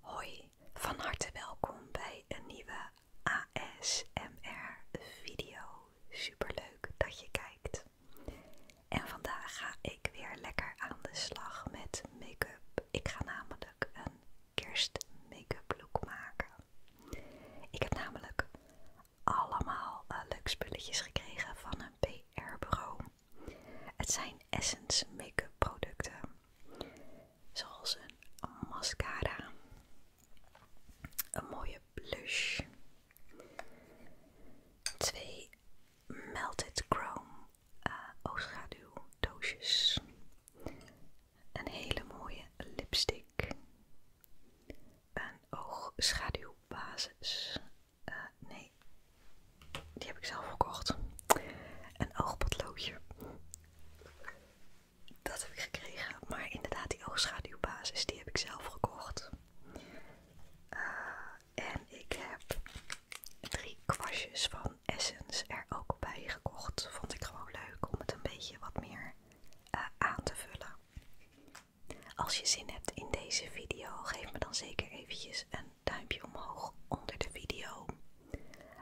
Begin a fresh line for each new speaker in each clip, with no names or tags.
Hoi, van harte welkom bij een nieuwe ASMR video. Superleuk dat je kijkt. En vandaag ga ik weer lekker aan de slag met make-up. Ik ga namelijk een kerst make-up look maken. Ik heb namelijk allemaal luxe eh, leuke spulletjes gekregen van een PR-bureau. Het zijn Essence make-up producten, zoals een mascara, een mooie blush, twee melted chrome Oogschaduw eh, oogschaduwdoosjes, een hele mooie lipstick, een oogschaduwbasis, eh, nee, die heb ik zelf gekocht. Een oogpotloodje. Dat heb ik gekregen, maar inderdaad die oogschaduwbasis, die heb ik zelf gekocht. Eh, en ik heb drie kwastjes van Essence er ook bij gekocht. Vond ik gewoon leuk om het een beetje wat meer eh, aan te vullen. Als je zin hebt in deze video, geef me dan zeker eventjes een duimpje omhoog onder de video.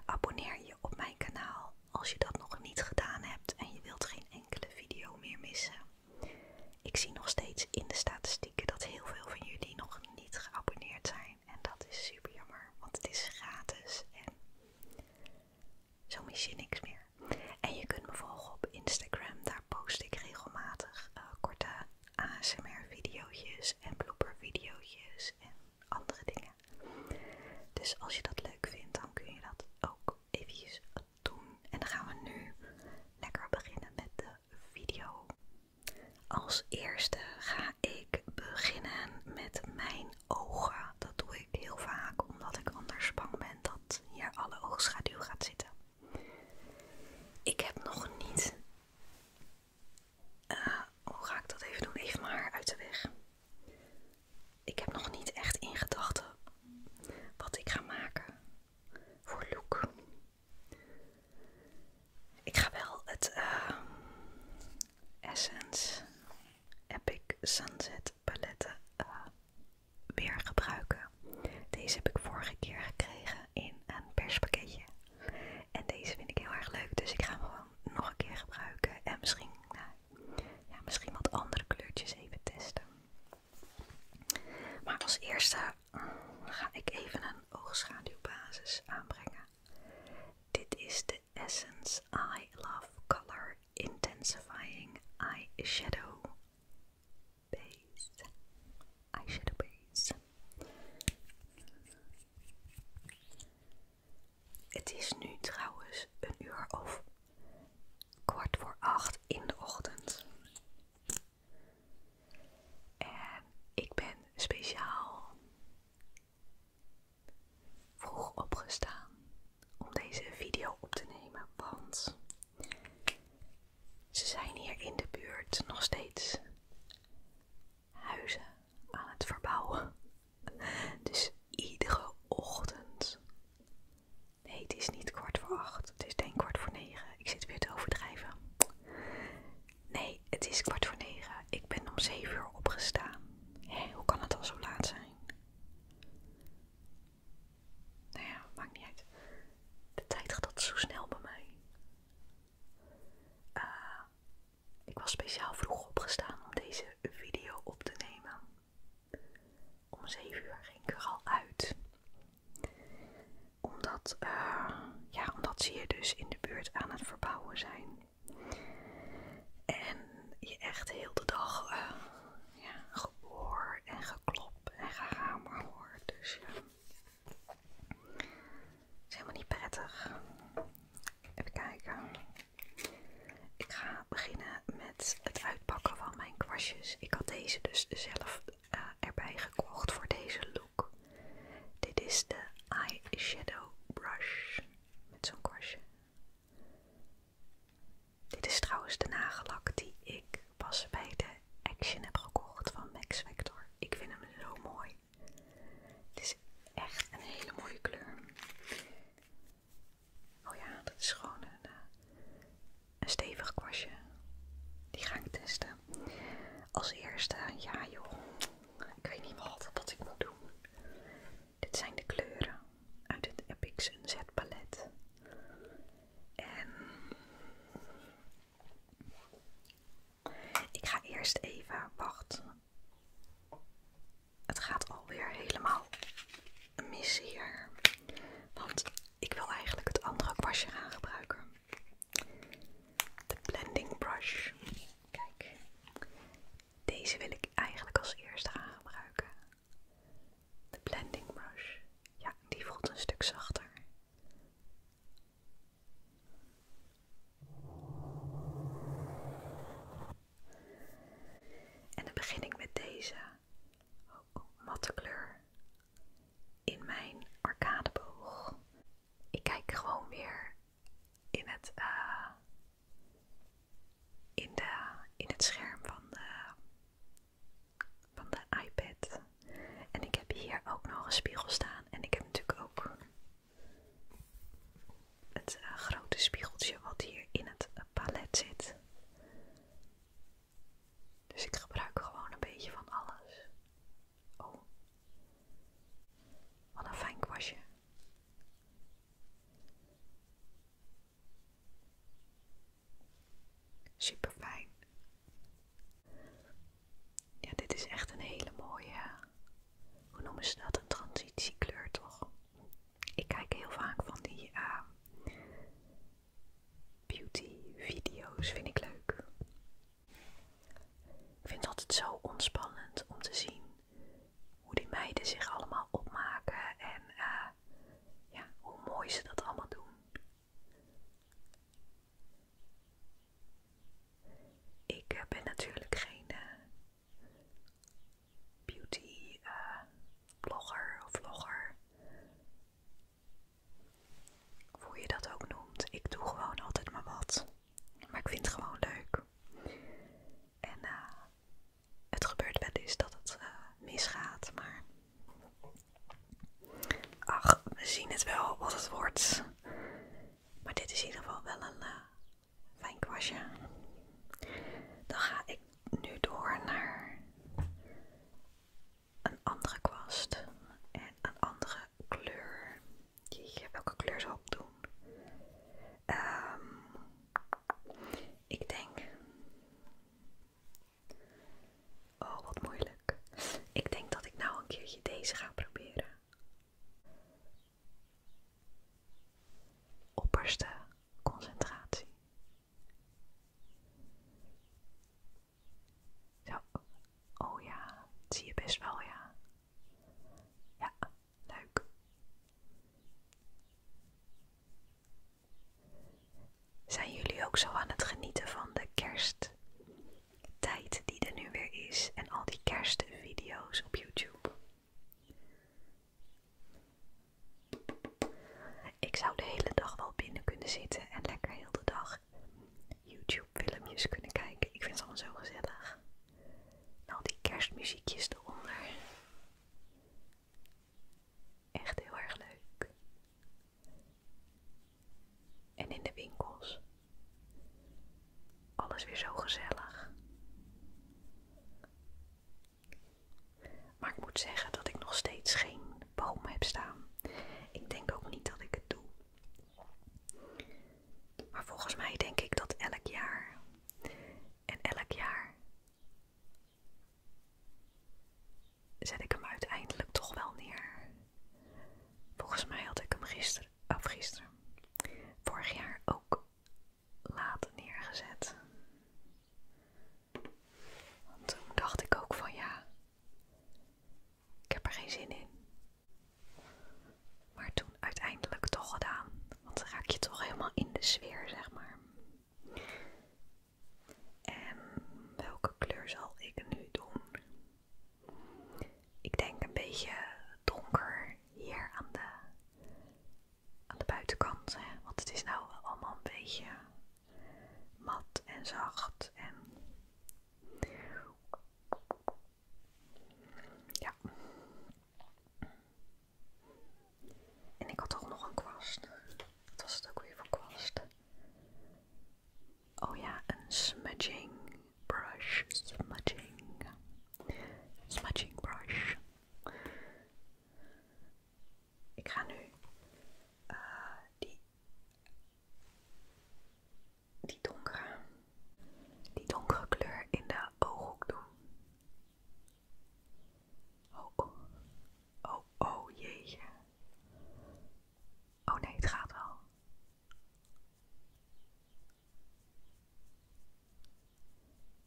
Abonneer je op mijn kanaal als je dat nog niet gedaan hebt en je wilt geen enkele video meer missen. Ik zie nog steeds in de statistieken dat heel veel van jullie nog niet geabonneerd zijn. En dat is super jammer, want het is gratis en zo mis je niks meer. En je kunt me volgen op Instagram, daar post ik regelmatig eh, korte ASMR-video's en blooper-video's en andere dingen. Dus als je dat leuk vindt, dan kun je dat ook eventjes doen. En dan gaan we nu lekker beginnen met de video. Als eerste ga ik beginnen met mijn ogen. Dat doe ik heel vaak omdat ik anders bang ben dat hier alle oogschaduw gaat zitten. Ik heb nog niet eh, hoe ga ik dat even doen? Even mijn haar uit de weg. Ik heb nog niet echt in gedachten wat ik ga maken voor look. Ik ga wel het eh, Essence Epic Sunset paletten eh, weer gebruiken. Deze heb ik vorige keer gekregen in een perspakketje. En deze vind ik heel erg leuk, dus ik ga hem gewoon nog een keer gebruiken. En misschien, nou, ja, misschien wat andere kleurtjes even testen. Maar als eerste ga ik even een oogschaduwbasis aanbrengen. Dit is de Essence Eye Love Color Intensifying Eyeshadow Base. Eyeshadow Base. Het is nu trouwens een uur of kwart voor acht in de ochtend. En ik ben speciaal vroeg opgestaan om deze video op te nemen, want ze zijn hier in de buurt nog steeds huizen aan het verbouwen. Dus iedere ochtend. Nee, het is niet kwart voor acht. Het is denk kwart voor negen. Ik zit weer te overdrijven. Nee, het is kwart voor negen. Ik ben om zeven uur opgestaan. Hé, hoe kan het al zo laat zijn? Nou ja, maakt niet uit. De tijd gaat altijd zo snel bij mij. Ah. Ik was speciaal vroeg opgestaan om deze video op te nemen. Om 7 uur ging ik er al uit. Omdat, eh, ja, omdat ze hier dus in de buurt aan het verbouwen zijn. En je echt heel de dag uh, ja, en geklop en gehamer hoort. Dus ja, het is helemaal niet prettig. Even kijken. Ik ga beginnen met het uitpakken van mijn kwastjes. Ik had deze dus zelf eh, erbij gekocht voor deze look. Dit is de eyeshadow brush met zo'n kwastje. Dit is trouwens de nagellak die ik pas bij de Action heb gekocht van Max Vector. Ik vind hem zo mooi. Het is echt een hele mooie kleur. Oh ja, dat is gewoon een, eh, een stevig kwastje. Die ga ik testen. Als eerste, ja joh, ik weet niet wat, wat ik moet doen. Dit zijn de kleuren uit het Epic Z palet. En ik ga eerst even wachten. Het gaat alweer helemaal mis hier. Want ik wil eigenlijk het andere kwastje gaan gebruiken. De blending brush. Kijk. Deze wil ik eigenlijk als eerste gaan gebruiken. De blending brush. Ja, die voelt een stuk zachter. En dan begin ik met deze matte kleur in mijn arcadeboog. Ik kijk gewoon weer in het, eh, in de, in het scherm van de, van de iPad. En ik heb hier ook nog een spiegel staan. En ik heb natuurlijk ook het eh, grote spiegeltje wat hier in het palet zit. Dus ik gebruik gewoon een beetje van alles. Oh, wat een fijn kwastje. Super fijn. Ja, dit is echt een hele mooie, eh, hoe noemen ze dat, een transitiekleur toch? Ik kijk heel vaak van die eh, beauty video's, vind ik leuk. Ik vind het altijd zo ontspannend om te zien hoe die meiden zich allemaal opmaken en eh, ja, hoe mooi ze dat allemaal doen. Ik eh, ben natuurlijk geen eh, beauty eh, blogger of vlogger. voel hoe je dat ook noemt. Ik doe gewoon altijd maar wat. Maar ik vind het gewoon leuk. En het gebeurt wel eens dat het misgaat, maar. Ach, we zien het wel wat het wordt. Maar dit is in ieder geval wel een eh, fijn kwastje. Dan ga ik nu door naar een andere kwast en een andere kleur. Jeetje, welke kleur zal ik doen? Ehm, ik denk. Oh, wat moeilijk. Ik denk dat ik nou een keertje deze ga proberen. Opperste concentratie. Zo. Oh ja, zie je best wel, ja. Ja, leuk. Zijn jullie ook zo aan het genieten van de kerst? tijd die er nu weer is en al die kerstvideo's op YouTube. Ik zou de hele dag wel binnen kunnen zitten en lekker heel de dag YouTube-filmpjes kunnen kijken. Ik vind het allemaal zo gezellig. En al die kerstmuziekjes eronder. Echt heel erg leuk. En in de winkels. Alles weer zo gezellig. Maar ik moet zeggen dat ik nog steeds geen boom heb staan. Ik denk ook niet dat ik het doe. Maar volgens mij denk ik dat elk jaar en elk jaar zet ik hem uiteindelijk toch wel neer. Volgens mij had ik hem gisteren of gisteren, vorig jaar ook laat neergezet. Want toen dacht ik ook van ja, ik heb er geen zin in. Maar toen uiteindelijk toch gedaan, want dan raak je toch helemaal in de sfeer, zeg maar. En welke kleur zal ik nu doen? Ik denk een beetje donker hier aan de, aan de buitenkant. Want het is nou allemaal een beetje mat en zacht. En ja. En ik had toch nog een kwast. Wat was het ook weer voor kwast? Oh ja, een smudging brush smudging. Smudging brush. Ik ga nu eh die, die, donkere, die donkere kleur in de ooghoek doen. Oh, oh, oh, oh Oh nee, het gaat wel.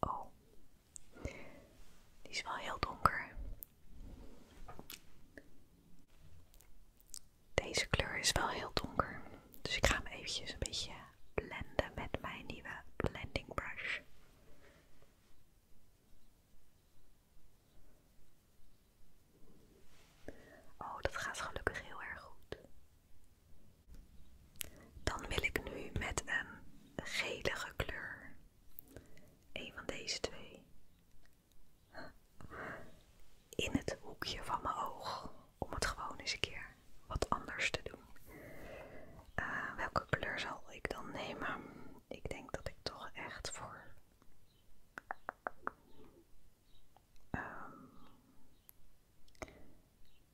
Oh, die is wel heel donker. Deze kleur is wel heel donker, dus ik ga hem eventjes een beetje blenden met mijn nieuwe blending brush. Oh, dat gaat gelukkig heel erg goed. Dan wil ik nu met een gelige kleur. Een van deze twee. In het hoekje van mijn oog. Om het gewoon eens een keer wat anders te doen. Eh, welke kleur zal ik dan nemen? Ik denk dat ik toch echt voor Um,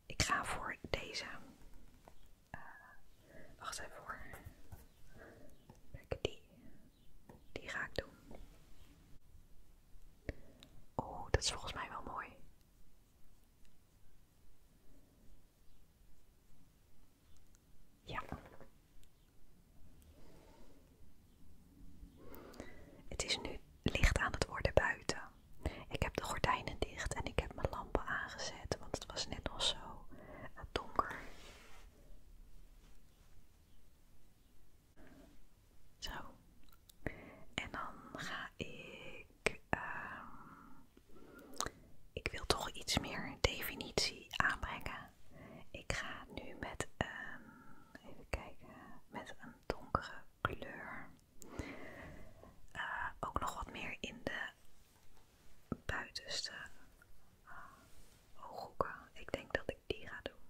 ik ga voor deze. Uh, wacht even voor. Kijk, die. Die ga ik doen. Oh, dat is volgens mij wel mooi. Ja. Het is nu licht aan het worden buiten. Ik heb de gordijnen dicht en ik heb mijn lampen aangezet, want het was net nog zo eh, donker. Zo. En dan ga ik. Ehm, ik wil toch iets meer definitie aanbrengen. Ik ga nu met een. Even kijken. Met een donkere kleur. Eh, ook nog wat meer in de buitenste eh, ooghoeken. Ik denk dat ik die ga doen.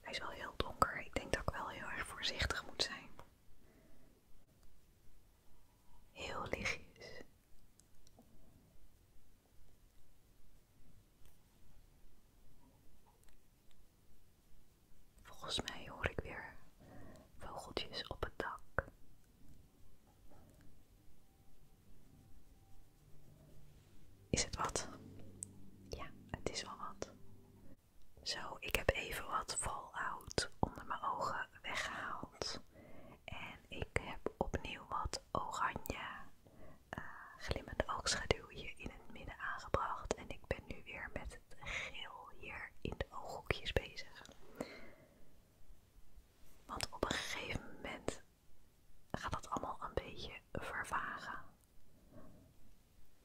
Hij is wel heel donker. Ik denk dat ik wel heel erg voorzichtig moet zijn. Heel lichtjes. Volgens mij hoor ik weer vogeltjes op het dak. Is het wat? Ja, het is wel wat. Zo, ik heb even wat fallout onder mijn ogen weggehaald. En ik heb opnieuw wat oranje eh, glimmende oogschaduwje in het midden aangebracht. En ik ben nu weer met geel hier in de ooghoekjes bezig. Want op een gegeven moment gaat dat allemaal een beetje vervagen.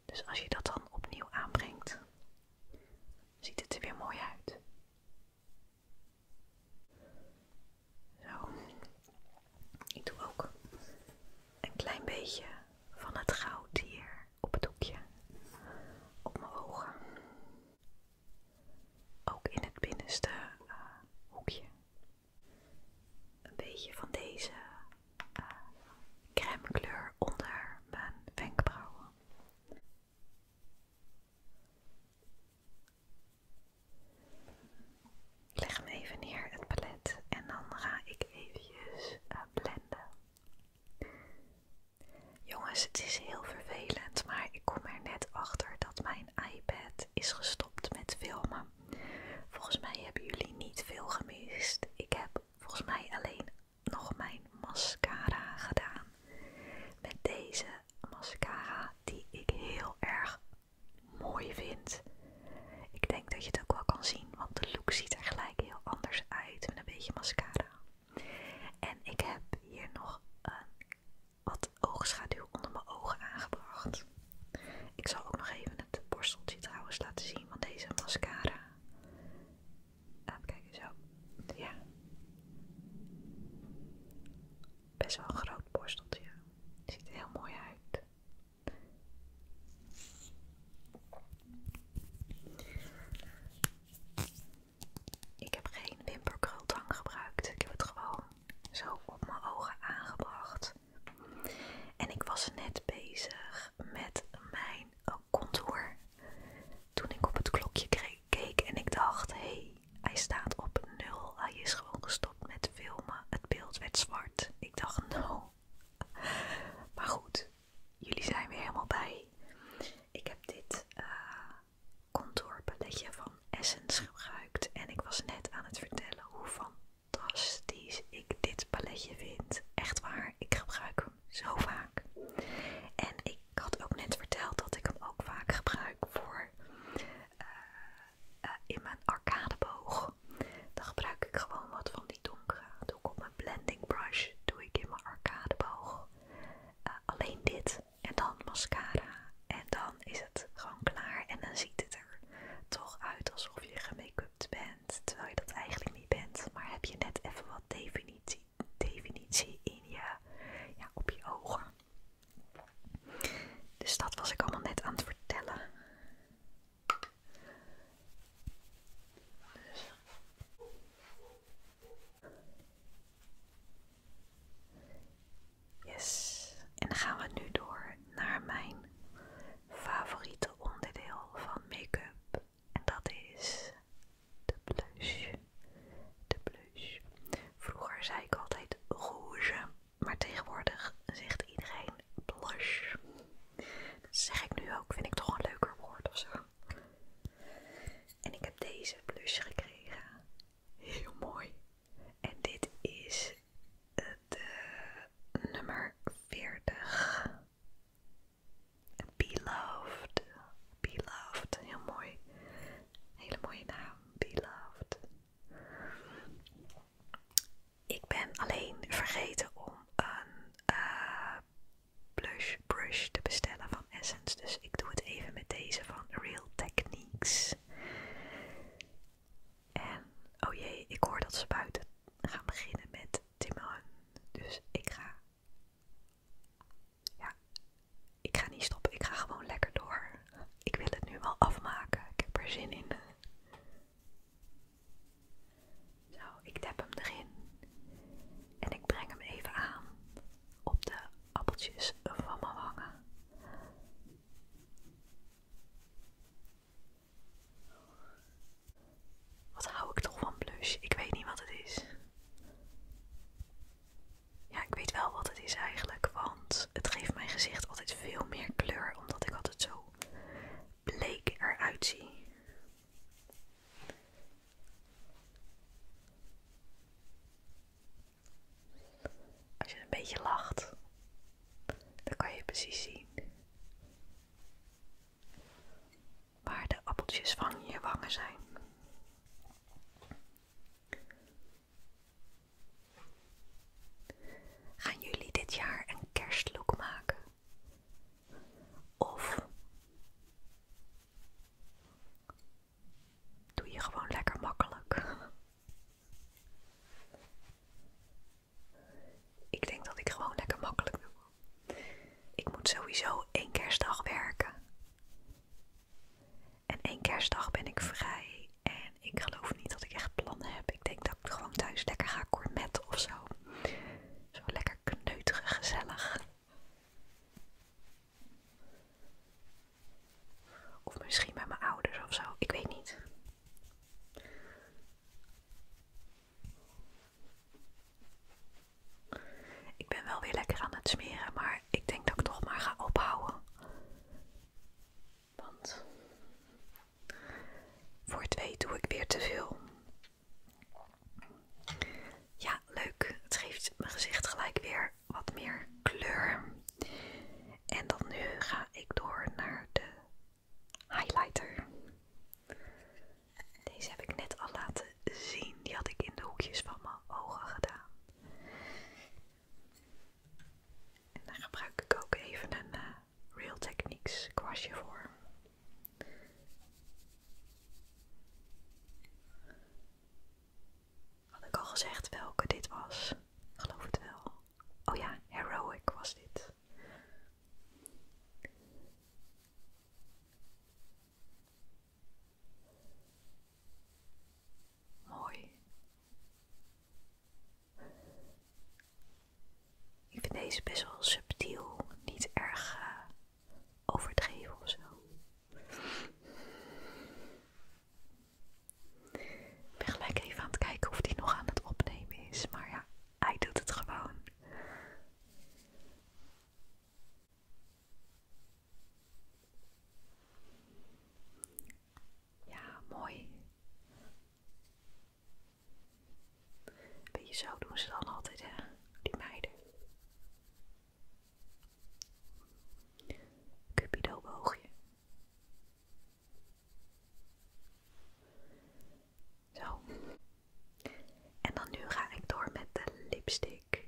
Dus als je dat dan opnieuw aanbrengt, ziet het er weer mooi uit. Zo. Ik doe ook een klein beetje van het goud hier op het hoekje, op mijn ogen. Ook in het binnenste eh, hoekje. Een beetje van deze uh, eh, crème kleur onder mijn wenkbrauwen. Ik leg hem even neer, het palet, en dan ga ik eventjes eh, blenden. Jongens, het is heel vervelend, maar ik kom er net achter dat mijn iPad is gestopt met filmen. Volgens mij hebben jullie niet veel gemist. Ik heb volgens mij alleen nog mijn mascara gedaan. Met deze mascara die ik heel erg mooi vind. Ik denk dat je het ook wel kan zien want de look ziet er gelijk heel anders uit met een beetje mascara. En ik heb hier nog een, wat oogschaduw onder mijn ogen aangebracht. Ik zal ook nog even het borsteltje trouwens laten zien van deze mascara. Ah, even kijken, zo. Ja. Best wel een groot borsteltje. Ziet er heel mooi uit. Ik heb geen wimperkrultang gebruikt. Ik heb het gewoon zo op mijn ogen aangebracht. En ik was net bezig met mijn oh, contour. Toen ik op het klokje keek en ik dacht, hey, hij staat op nul. Hij is gewoon gestopt met filmen. Het beeld werd zwart. Ik dacht, nou, Maar goed, jullie zijn weer helemaal bij. Ik heb dit eh, contourpaletje contour paletje van Essence gebruikt en ik was net aan het vertellen hoe fantastisch ik dit paletje vind. Echt waar, ik gebruik hem zo vaak. En ik had ook net verteld dat ik hem ook vaak gebruik voor eh, eh, in mijn arcadeboog. Dan gebruik ik gewoon wat van die donkere doe op mijn blending brush, doe ik in mijn arcadeboog. Eh, alleen dit en dan mascara en dan is het gewoon klaar en dan ziet het er toch uit alsof je gemake bent, terwijl je dat eigenlijk niet bent. Maar heb je net even wat definitie, definitie in je, op je ogen. Dus dat was ik allemaal net aan het vertellen. Yes. En dan gaan we nu door naar mijn favoriete onderdeel van make-up. En dat is de blush. De blush. Vroeger zei ik altijd rouge, maar tegenwoordig zegt iedereen blush. Dat zeg ik nu ook, vind ik toch een leuker woord of zo. En ik heb deze blush gekregen. Heel mooi. En dit is eh, de nummer 40. Beloved. Beloved. Heel mooi. Hele mooie naam. Beloved. Ik ben alleen vergeten om een eh, blush brush te bestellen van Essence. Dus ik doe het even met deze van Real Techniques. En, oh jee, ik hoor dat ze buiten gaan beginnen met Timon. Dus ik ga... Ja, ik ga niet stoppen. Ik ga gewoon lekker door. Ik wil het nu wel afmaken. Ik heb er zin in. Zo, nou, ik dep hem erin. En ik breng hem even aan op de appeltjes van mijn wangen. Wat hou ik toch van blush? Ik weet niet wat het is. Ja, ik weet wel wat het is eigenlijk, want het geeft mijn gezicht altijd veel meer kleur, omdat ik altijd zo bleek eruit zie. Als je een beetje lacht, dan kan je precies zien waar de appeltjes van je wangen zijn. Gaan jullie dit jaar een kerstlook maken? Of doe je gewoon lekker makkelijk. Ik denk dat ik gewoon lekker makkelijk doe. Ik moet sowieso één kerstdag werken. En één kerstdag ben ik vrij. En ik geloof niet dat ik echt plannen heb. Ik denk dat ik gewoon thuis lekker ga kormet of zo. Zo lekker kneuterig, gezellig. Of misschien bij mijn ouders of zo, ik weet niet. Ik ben wel weer lekker aan het smeren, maar ik denk dat ik toch maar ga ophouden. Want voor twee doe ik weer te veel. Ja, leuk. Het geeft mijn gezicht gelijk weer wat meer kleur. En dan nu ga ik door naar de highlighter. Deze heb ik net al laten zien. Die had ik in de hoekjes van mijn ogen gedaan. En daar gebruik ik ook even een eh, Real Techniques kwastje voor. Had ik al gezegd welke dit was? geloof het wel. Oh ja, Heroic was dit. Mooi. Ik vind deze best wel subtiel, niet erg eh, overdreven of zo. Ik ben gelijk even aan het kijken of die nog aan het opnemen is, maar ja, hij doet het gewoon. Ja, mooi. Beetje zo doen ze dan altijd, hè, die meiden. Cupido boogje. Zo. En dan nu ga ik door met de lipstick.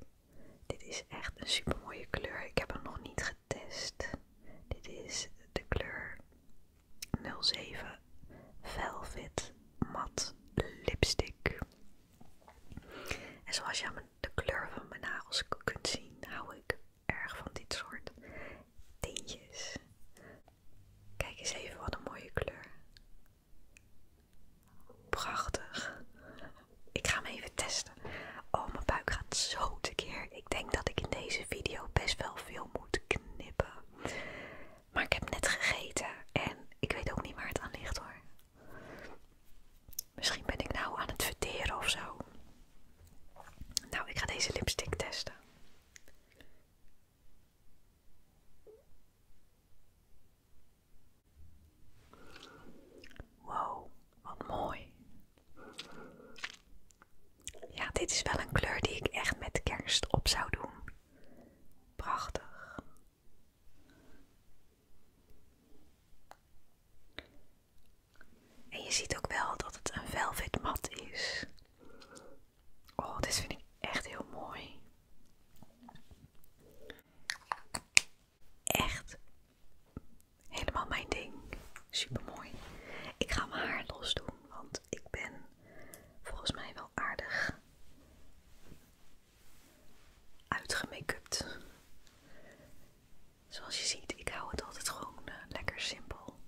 Dit is echt een super mooie kleur. Ik heb hem nog niet getest. Dit is de kleur 07 Velvet mat Lipstick. En zoals je aan de kleur van mijn nagels kunt zien, hou ik erg van dit soort tintjes. Kijk eens even wat een mooie kleur. Prachtig. Ik ga hem even testen. Oh, mijn buik gaat zo tekeer. Ik denk dat ik in deze video best wel veel moet knippen. Maar ik heb net gegeten en ik weet ook niet waar het aan ligt hoor. Misschien ben ik nou aan het verteren of zo. Nou, ik ga deze lipstick testen. Wow, wat mooi. Ja, dit is wel een kleur die ik echt met kerst op zou doen. Prachtig. En je ziet ook wel dat het een velvet mat is. Oh, dit vind ik echt heel mooi. Echt helemaal mijn ding. Supermooi. Ik ga mijn haar los doen, want ik ben volgens mij wel aardig uitgemake Zoals je ziet, ik hou het altijd gewoon eh, lekker simpel.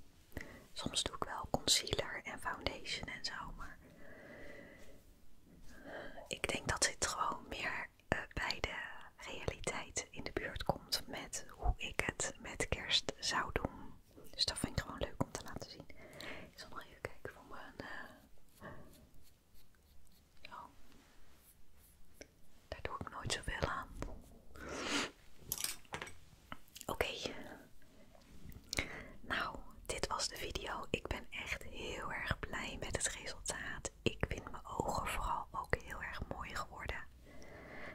Soms doe ik wel concealer en foundation en zo, maar ik denk dat dit gewoon meer eh, bij de realiteit in de buurt komt met hoe ik het met kerst zou doen. Dus dat vind ik gewoon leuk om te laten zien. Ik zal nog even kijken voor mijn eh, ja, Daar doe ik nooit zoveel aan. Oké. Nou, dit was de video. Ik ben echt heel erg blij met het resultaat. Ik vind mijn ogen vooral ook heel erg mooi geworden.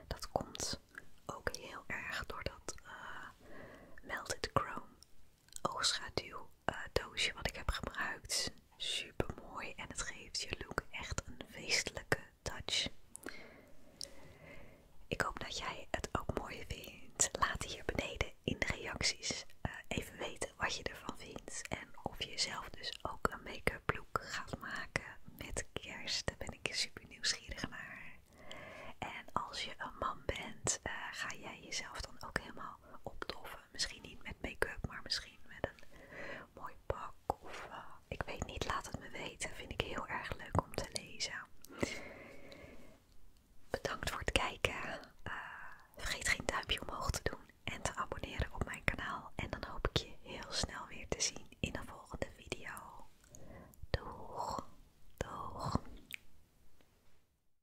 Dat komt ook heel erg door dat eh, melted chrome oogschaduw eh, doosje wat ik heb gebruikt. Super mooi en het geeft je look echt een feestelijke touch. Ik hoop dat jij het ook mooi vindt. Laat hier beneden in de reacties eh, even weten wat je ervan vindt. En of je zelf dus ook een make-up look gaat maken met kerst. Daar ben ik super nieuwsgierig naar. En als je een man bent, eh, ga jij jezelf dan ook helemaal opdoffen. Misschien niet met make-up, maar misschien met een mooi pak. Of eh, ik weet niet, laat het me weten. Vind ik heel erg leuk om te lezen. Bedankt voor het kijken. Eh, vergeet geen duimpje omhoog te doen en te abonneren op mijn kanaal. En dan hoop ik je heel snel weer te zien in een volgende video. Doeg, doeg.